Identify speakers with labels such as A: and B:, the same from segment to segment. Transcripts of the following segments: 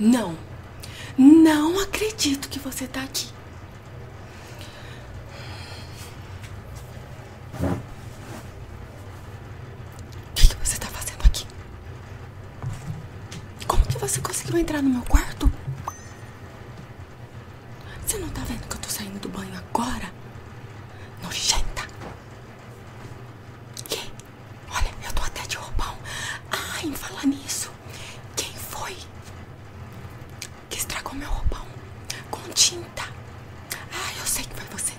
A: Não. Não acredito que você está aqui. O que, que você está fazendo aqui? Como que você conseguiu entrar no meu quarto? Você não tá vendo que eu tô saindo do banho agora? Nojenta! Que? Olha, eu tô até de roupão. Ai, em falar nisso, quem foi que estragou meu roupão com tinta? Ai, eu sei que foi você.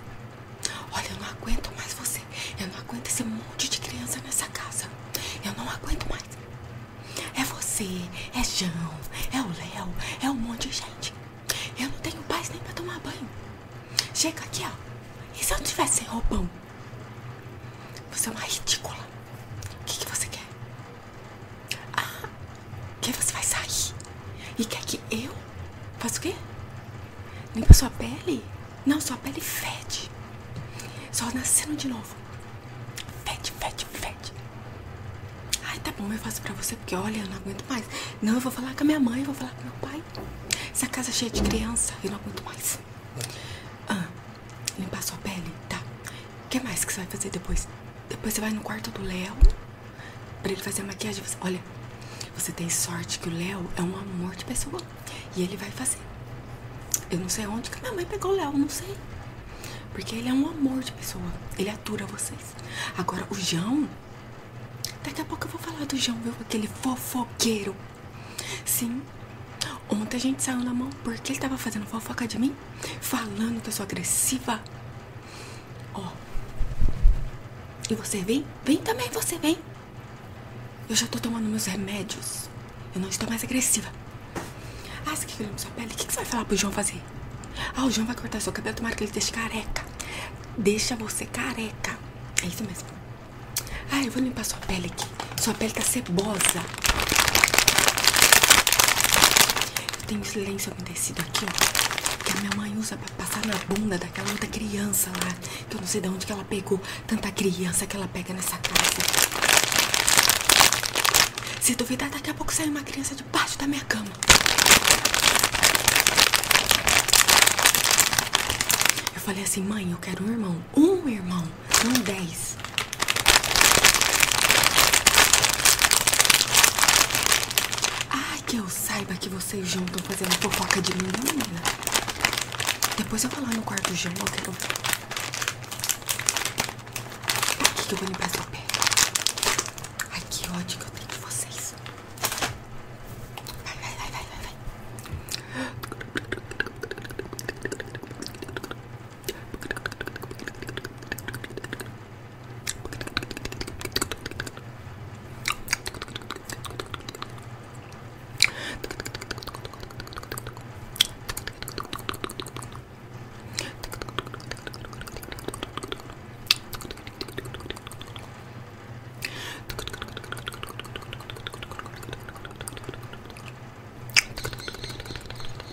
A: Olha, eu não aguento mais você. Eu não aguento esse monte de criança nessa casa. Eu não aguento mais. É você, é João, é o Léo, é um monte de gente. Eu não tenho paz nem pra tomar banho. Chega aqui, ó. E se eu tivesse sem roupão? Você é uma ridícula. O que, que você quer? Ah, que você vai sair? E quer que eu faça o quê? Limpa sua pele? Não, sua pele fede. Só nascendo de novo novo. Fede, fede, Ai, tá bom, eu faço pra você, porque olha, eu não aguento mais. Não, eu vou falar com a minha mãe, eu vou falar com meu pai. Essa casa é cheia de criança, eu não aguento mais. Ah, limpar sua pele, tá? O que mais que você vai fazer depois? Depois você vai no quarto do Léo pra ele fazer a maquiagem. olha, você tem sorte que o Léo é um amor de pessoa. E ele vai fazer. Eu não sei onde que minha mãe pegou o Léo, não sei. Porque ele é um amor de pessoa. Ele atura vocês. Agora, o João. Daqui a pouco eu vou falar do João, viu? Aquele fofoqueiro. Sim. Ontem a gente saiu na mão porque ele tava fazendo fofoca de mim. Falando que eu sou agressiva. Ó. E você vem? Vem também, você vem. Eu já tô tomando meus remédios. Eu não estou mais agressiva. Ah, você quer que eu sua pele? O que, que você vai falar pro João fazer? Ah, o João vai cortar seu cabelo, tomara que ele deixe careca. Deixa você careca. É isso mesmo. Ah, eu vou limpar sua pele aqui. Sua pele tá cebosa. Eu tenho silêncio abendecido aqui, ó. Que a minha mãe usa pra passar na bunda daquela outra criança lá. Que eu não sei de onde que ela pegou tanta criança que ela pega nessa casa. Se duvidar, daqui a pouco sai uma criança é de baixo da minha cama. Eu falei assim, mãe, eu quero um irmão. Um irmão, não dez. Ai, que eu saiba que vocês juntam fazendo fofoca de mim, menina? Depois eu vou lá no quarto de João, eu quero Aqui que eu vou limpar sua pele. Ai, que ódio que eu tenho de vocês. Vai, vai, vai, vai, vai,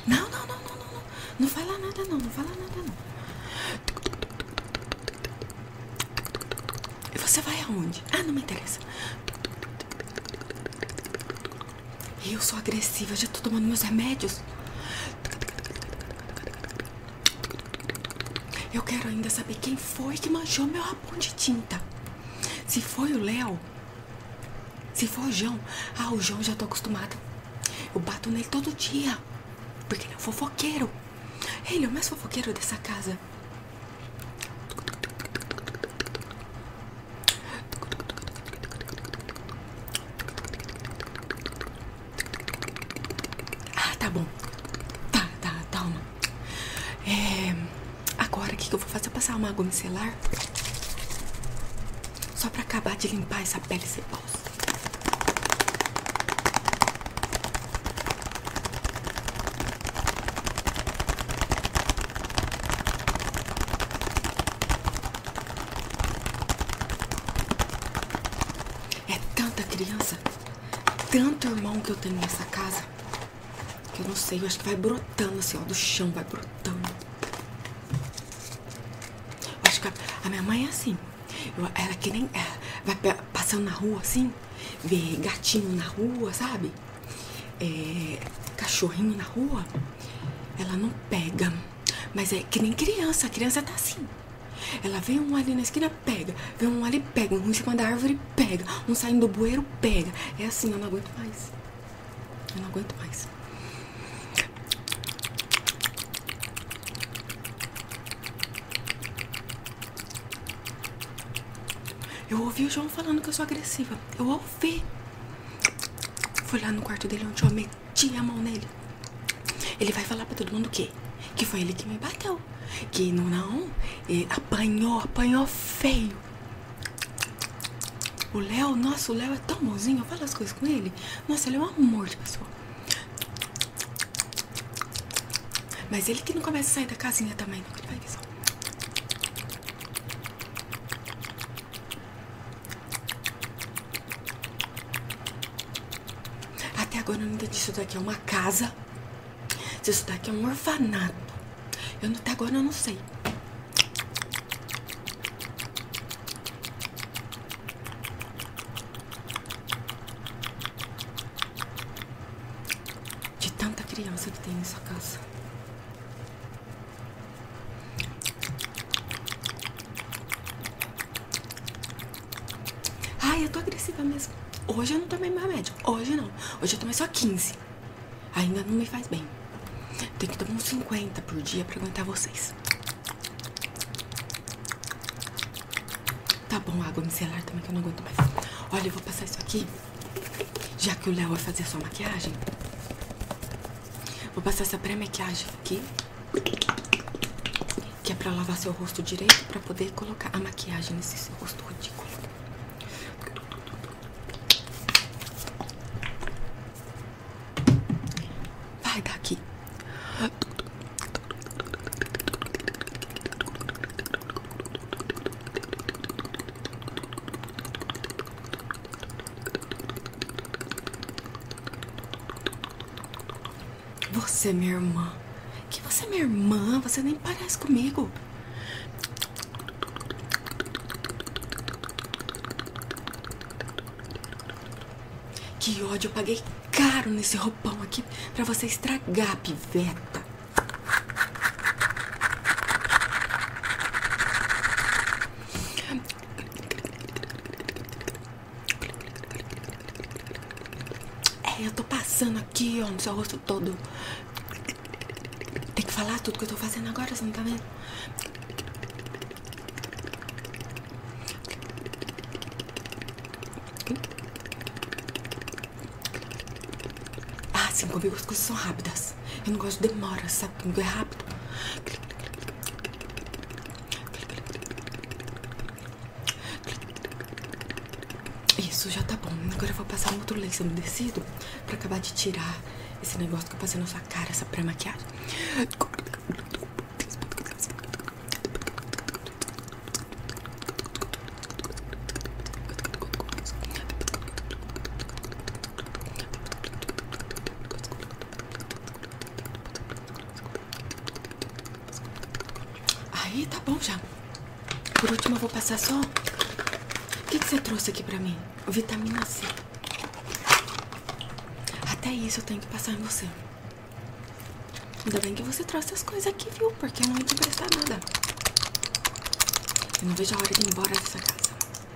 A: não, não, não, não, não, não. Não vai lá nada não, não vai lá nada não. E você vai aonde? Ah, não me interessa eu sou agressiva, já tô tomando meus remédios. Eu quero ainda saber quem foi que manchou meu rabão de tinta. Se foi o Léo, se foi o João, ah, o João já tô acostumada. Eu bato nele todo dia. Porque ele é um fofoqueiro. Ele é o mais fofoqueiro dessa casa. Ah, tá bom. Tá, tá, toma. É, agora o que, eu vou fazer? Passar uma agulha celular, Só pra acabar de limpar essa pele cebosa. É tanta criança, tanto irmão que eu tenho nessa casa, que eu não sei, eu acho que vai brotando assim, ó, do chão, vai brotando. acho que a, minha mãe é assim, eu, ela que nem, é, vai passando na rua assim, ver gatinho na rua, sabe? É, cachorrinho na rua, ela não pega. Mas é que nem criança, a criança tá assim. Ela vê um ali na esquina, pega. Vê um ali, pega. Um em cima da árvore, pega. Um saindo do bueiro, pega. É assim, eu não aguento mais. Eu não aguento mais. Eu ouvi o João falando que eu sou agressiva. Eu ouvi. Fui lá no quarto dele onde eu amei meti a mão nele. Ele vai falar pra todo mundo o Que foi ele que me bateu. Que não, não. apanhou, apanhou feio. O Léo, nosso Léo é tão bonzinho. Eu falo as coisas com ele. Nossa, ele é um amor de pessoa. Mas ele que não começa a sair da casinha também, não, que ele vai ver só. Até agora eu nada disso daqui é uma casa. Se isso daqui é um orfanato. Eu até agora eu não sei. De tanta criança que tem nessa casa. Ai, eu tô agressiva mesmo. Hoje eu não tomei mais remédio. Hoje não. Hoje eu tomei só 15. Ainda não me faz bem. Tem que tomar uns 50 por dia pra aguentar vocês. Tá bom, água micelar também que eu não aguento mais. Olha, eu vou passar isso aqui. Já que o Léo vai fazer a sua maquiagem. Vou passar essa pré-maquiagem aqui. Que é pra lavar seu rosto direito pra poder colocar a maquiagem nesse seu rosto ridículo. Vai daqui. Você, minha irmã. Que você é minha irmã? Você nem parece comigo. Que ódio, eu paguei caro nesse roupão aqui pra você estragar, piveta. É, eu tô passando aqui, ó, no seu rosto todo. Tem que falar tudo que eu tô fazendo agora, você não tá vendo? Ah, sim, comigo as coisas são rápidas. Eu não gosto de demoras, sabe? sabe? Tem rápido. Isso já tá bom. Agora eu vvou passar um outro no umedecido pra acabar de tirar esse negócio que eu passei na sua cara, essa pré-maquiagem. Aí tá bom já. Por último eu vou passar só. O que, você trouxe aqui pra mim? Vitamina C. Até isso eu tenho que passar em você. Ainda bem que você trouxe as coisas aqui, viu? Porque eu não vou te emprestar nada. Eu não vejo a hora de ir embora dessa casa.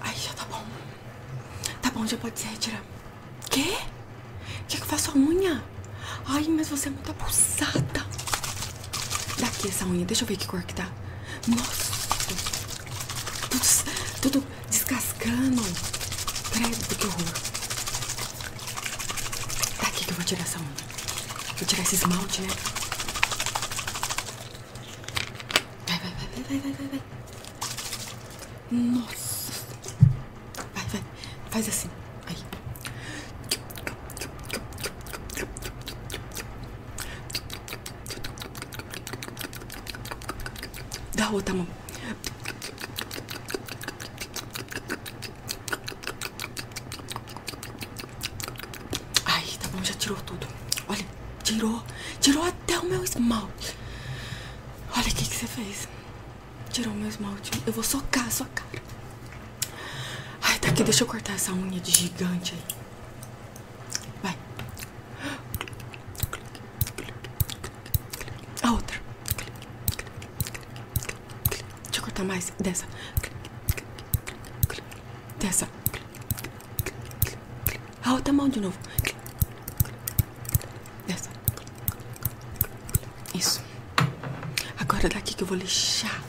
A: ai já tá bom. Tá bom, já pode se retirar. Quê? Quer que eu faça a unha? Ai, mas você é muito abusada. Daqui essa unha, deixa eu ver que cor que tá. Nossa! Tudo, tudo descascando. Credo, que horror. Daqui tá que eu vou tirar essa unha. Vou tirar esse esmalte, né? Vai, vai, vai, vai, vai, vai, vai. Nossa. Vai, vai. Faz assim. Aí. Dá a outra mão. Ai, tá bom, já tirou tudo. Olha, tirou. Tirou até o meu esmalte. Olha o que, você fez. Tirou o meu esmalte. Eu vou socar a sua cara. Ai, tá aqui. Deixa eu cortar essa unha de gigante aí. Vai. A outra. Deixa eu cortar mais dessa. Dessa. A ah, outra mão de novo. Dessa. Isso. Agora é daqui que eu vou lixar.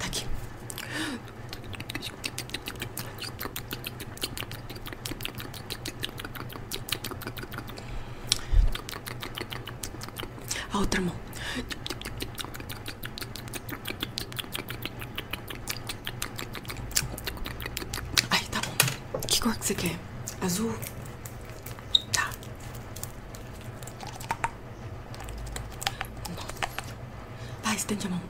A: Daqui. Tá outra mão. Ai, tá bom. Que cor que você quer? Azul? Tá. Nossa. Vai, estende a mão.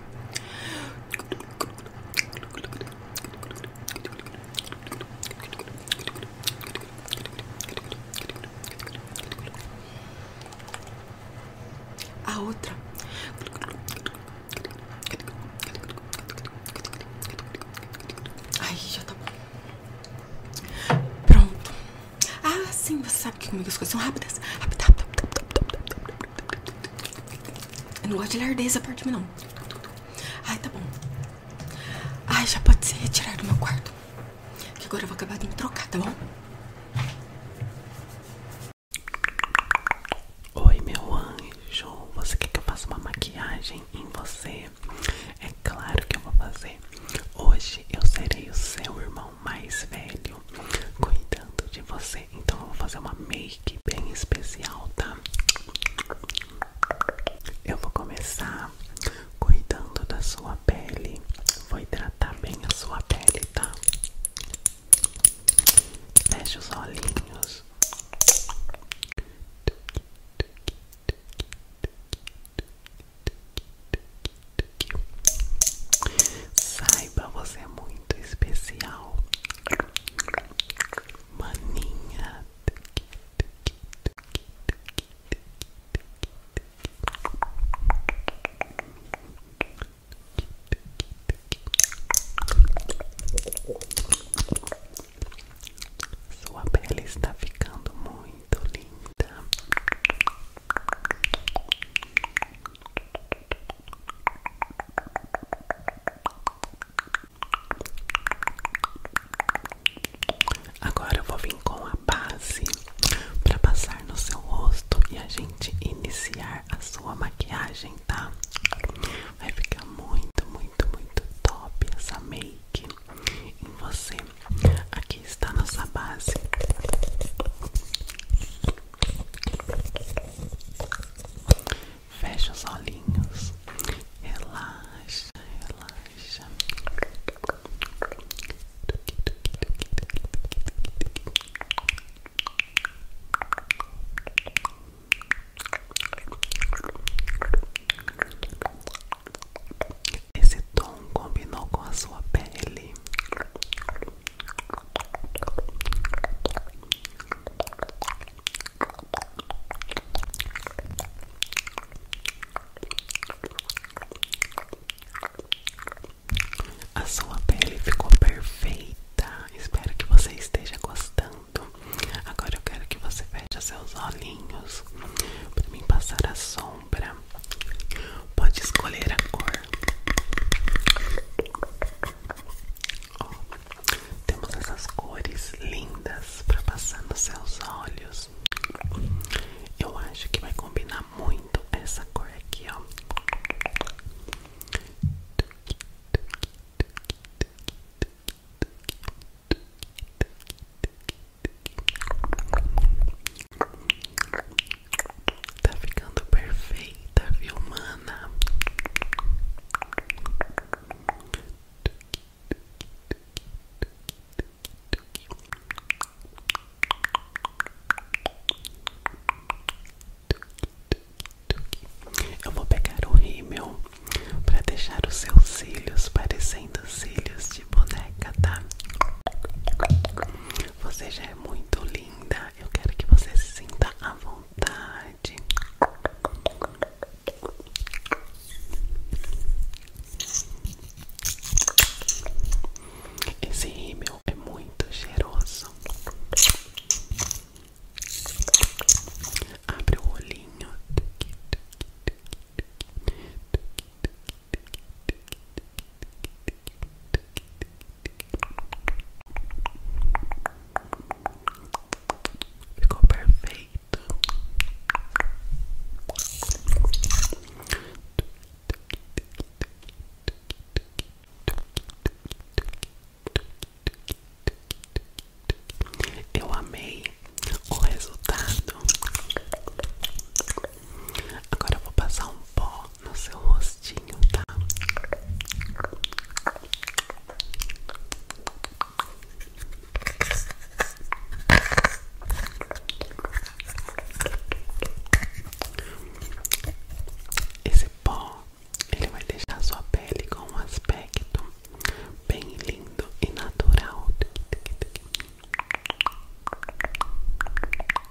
A: A outra. Aí já tá Pronto. Ah, sim, você sabe que comigo as coisas são rápidas. Eu não gosto de ler dessa parte, não. Ai, tá bom. Ai, já pode ser retirado do meu quarto. Que agora eu vou acabar de me trocar, tá bom? Oi, meu anjo. Você quer que eu faça uma maquiagem em você?
B: É claro que eu vou fazer. Hoje eu serei o seu irmão mais velho, cuidando de você então eu vou fazer uma make bem especial, tá? Eu vou começar cuidando da sua pele. Vou hidratar bem a sua pele, tá? Feche os olhinhos. Sai para você é muito especial. Maninha. Sua pele está ficando muito linda. Agora eu vou vir com a base para passar no seu rosto e a gente iniciar a sua maquiagem, tá? Vai ficar muito, muito, muito top essa make em você. Aqui está a nossa base. Fecha os olhinhos, relaxa, relaxa. Esse tom combinou com a sua pele. A sua pele ficou perfeita. Espero que você esteja gostando. Agora eu quero que você feche seus olhinhos para mim passar a sombra. Pode escolher a cor. Ó, temos essas cores lindas para passar nos seus olhos. Eu acho que vai combinar muito essa cor aqui, ó. Tá ficando perfeita, viu, mana? Eu vou pegar o rímel para deixar os seus cílios parecendo cílios de boneca, tá? Você já é muito linda. Eu quero que você se sinta à vontade. Esse rímel é muito cheiroso. Abre o olhinho. Ficou perfeito. Eu amei o resultado. Agora vou passar um pó no seu rostinho, tá? Esse pó ele vai deixar sua pele com um aspecto bem lindo e natural.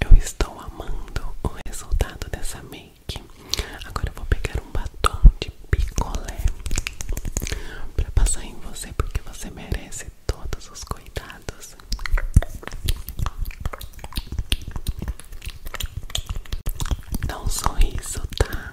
B: Eu estou amando o resultado dessa make. Agora eu vou pegar um batom de picolé para passar em você porque você merece todos os cuidados. Dá um sorriso, tá?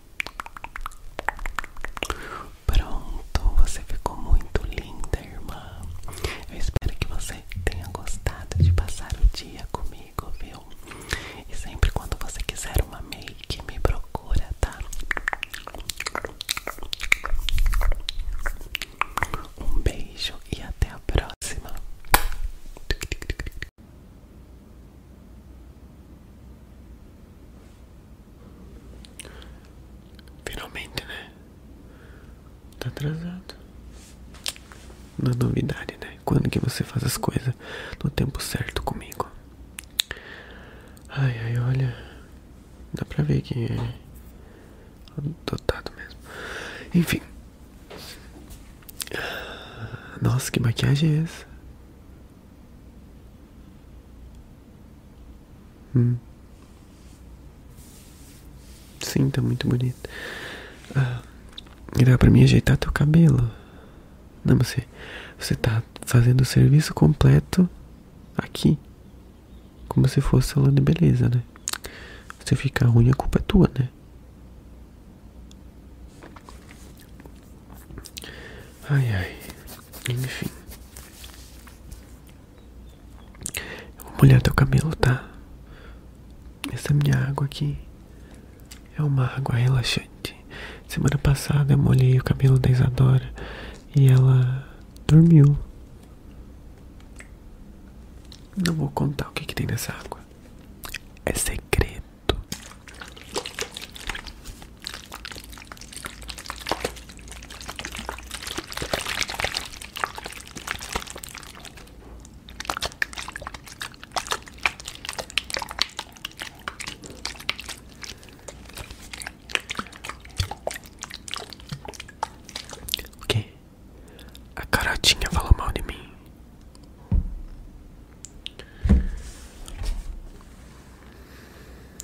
B: Pronto, você ficou muito linda, irmã. Eu espero que você tenha gostado de passar o dia comigo, viu? E sempre quando você quiser uma make, me procura, tá? Um beijo e até a próxima. Finalmente, né? Tá atrasado. Na novidade, né? Quando que você faz as coisas no tempo certo comigo? Ai, ai, olha. Dá pra ver que é dotado mesmo. Enfim. Nossa, que maquiagem é essa? Hum. Sim, tá muito bonito. Ah, dá pra mim ajeitar teu cabelo. Não, você, você tá fazendo o serviço completo aqui. Como se fosse salão de beleza, né? Se ficar ruim, a culpa é tua, né? Ai ai, enfim. vou molhar teu cabelo, tá? Essa minha água aqui é uma água relaxante. Semana passada eu molhei o cabelo da Isadora e ela dormiu. Não vou contar o que, que tem nessa água. É segredo. O que? A carotinha falou mal de mim.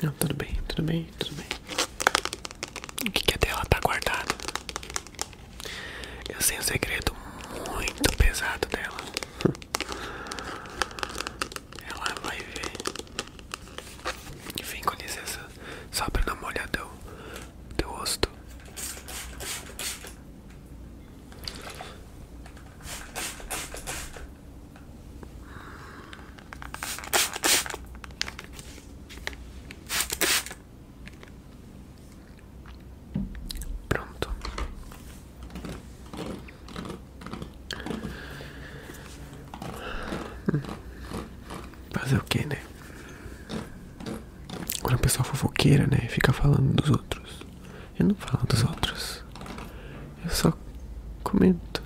B: Não, tudo bem, tudo bem, tudo bem. O que, que é dela? Tá guardado. Eu sei um segredo muito pesado dela. Ela vai ver. Enfim, com licença, só pra dar uma olhada no teu rosto. Pronto. Fazer o que, né? Quando a pessoa é fofoqueira, né? Fica falando dos outros. Eu não falo dos outros. Eu só comento.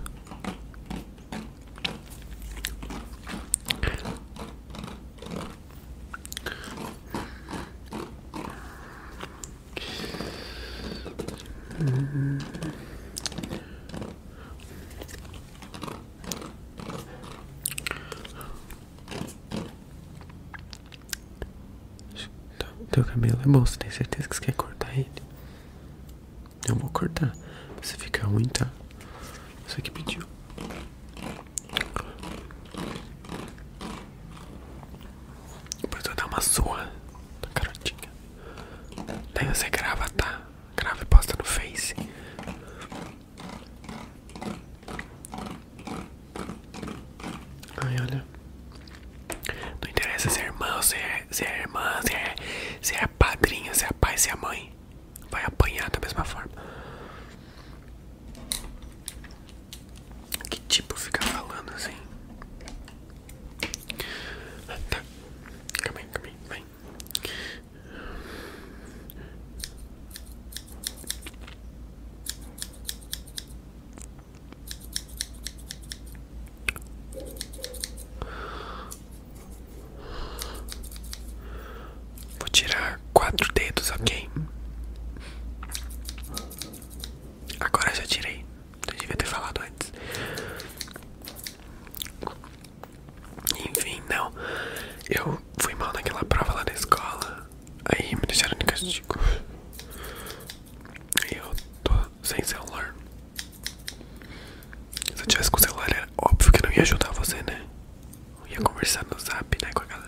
B: Teu cabelo é bom, você tem certeza que você quer cortar ele? Eu vou cortar, pra você ficar ruim, tá? Você que pediu. Depois eu vou dar uma sua Tá garotinha. Daí você grava, tá? Grava e posta no Face. Ai, olha. Não interessa se é irmã, se é, se é irmã, se é, se é padrinha, se é pai, se é mãe. Vai apanhar da mesma forma. Que tipo fica falando assim? Ah, tá. Calma aí, calma aí, vem. Vou tirar quatro dedos, ok? Agora já tirei. Eu devia ter falado antes. Enfim, não. Eu fui mal naquela prova lá na escola. Aí me deixaram de castigo. Eu tô sem celular. Se eu tivesse com o celular, era óbvio que não ia ajudar você, né? Eu ia conversar no zap, né, com a galera.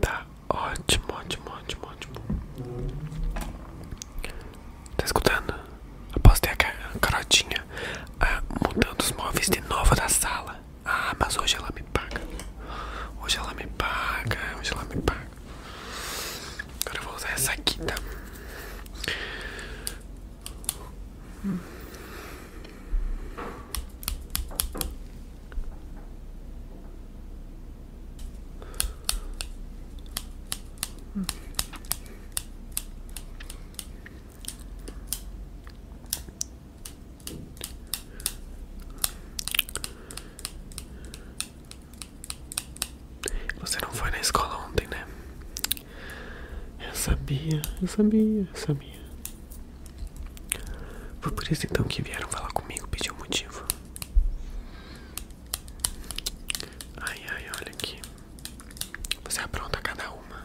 B: Tá ótimo, ótimo, ótimo, ótimo. Tá escutando? Após ter a carotinha ah, mudando os móveis de novo da sala. Ah, mas hoje ela me paga. Hoje ela me paga, hoje ela me paga. Agora eu vou usar essa aqui, tá? Você não foi na escola ontem, né? Eu sabia, eu sabia, eu sabia. Foi por isso então que vieram falar comigo, pedir o motivo. Ai, ai, olha aqui. Você apronta cada uma.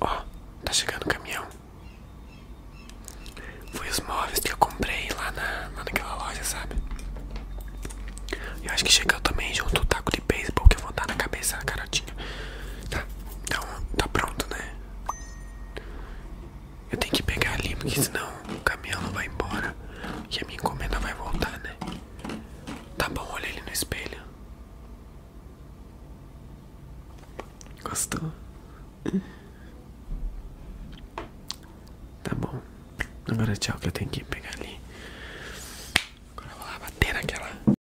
B: Ó, tá chegando o caminhão. Foi os móveis que eu comprei lá, na, naquela loja, sabe? Eu acho que chegou também junto o taco de beisebol que eu vou dar na cabeça da garotinha. Tá, então tá pronto, né? Eu tenho que pegar ali, porque senão o caminhão não vai embora. E a minha encomenda vai voltar, né? Tá bom, olha ele no espelho. Gostou? Tá bom. Agora é tchau que eu tenho que pegar ali. Agora eu vou lá bater naquela.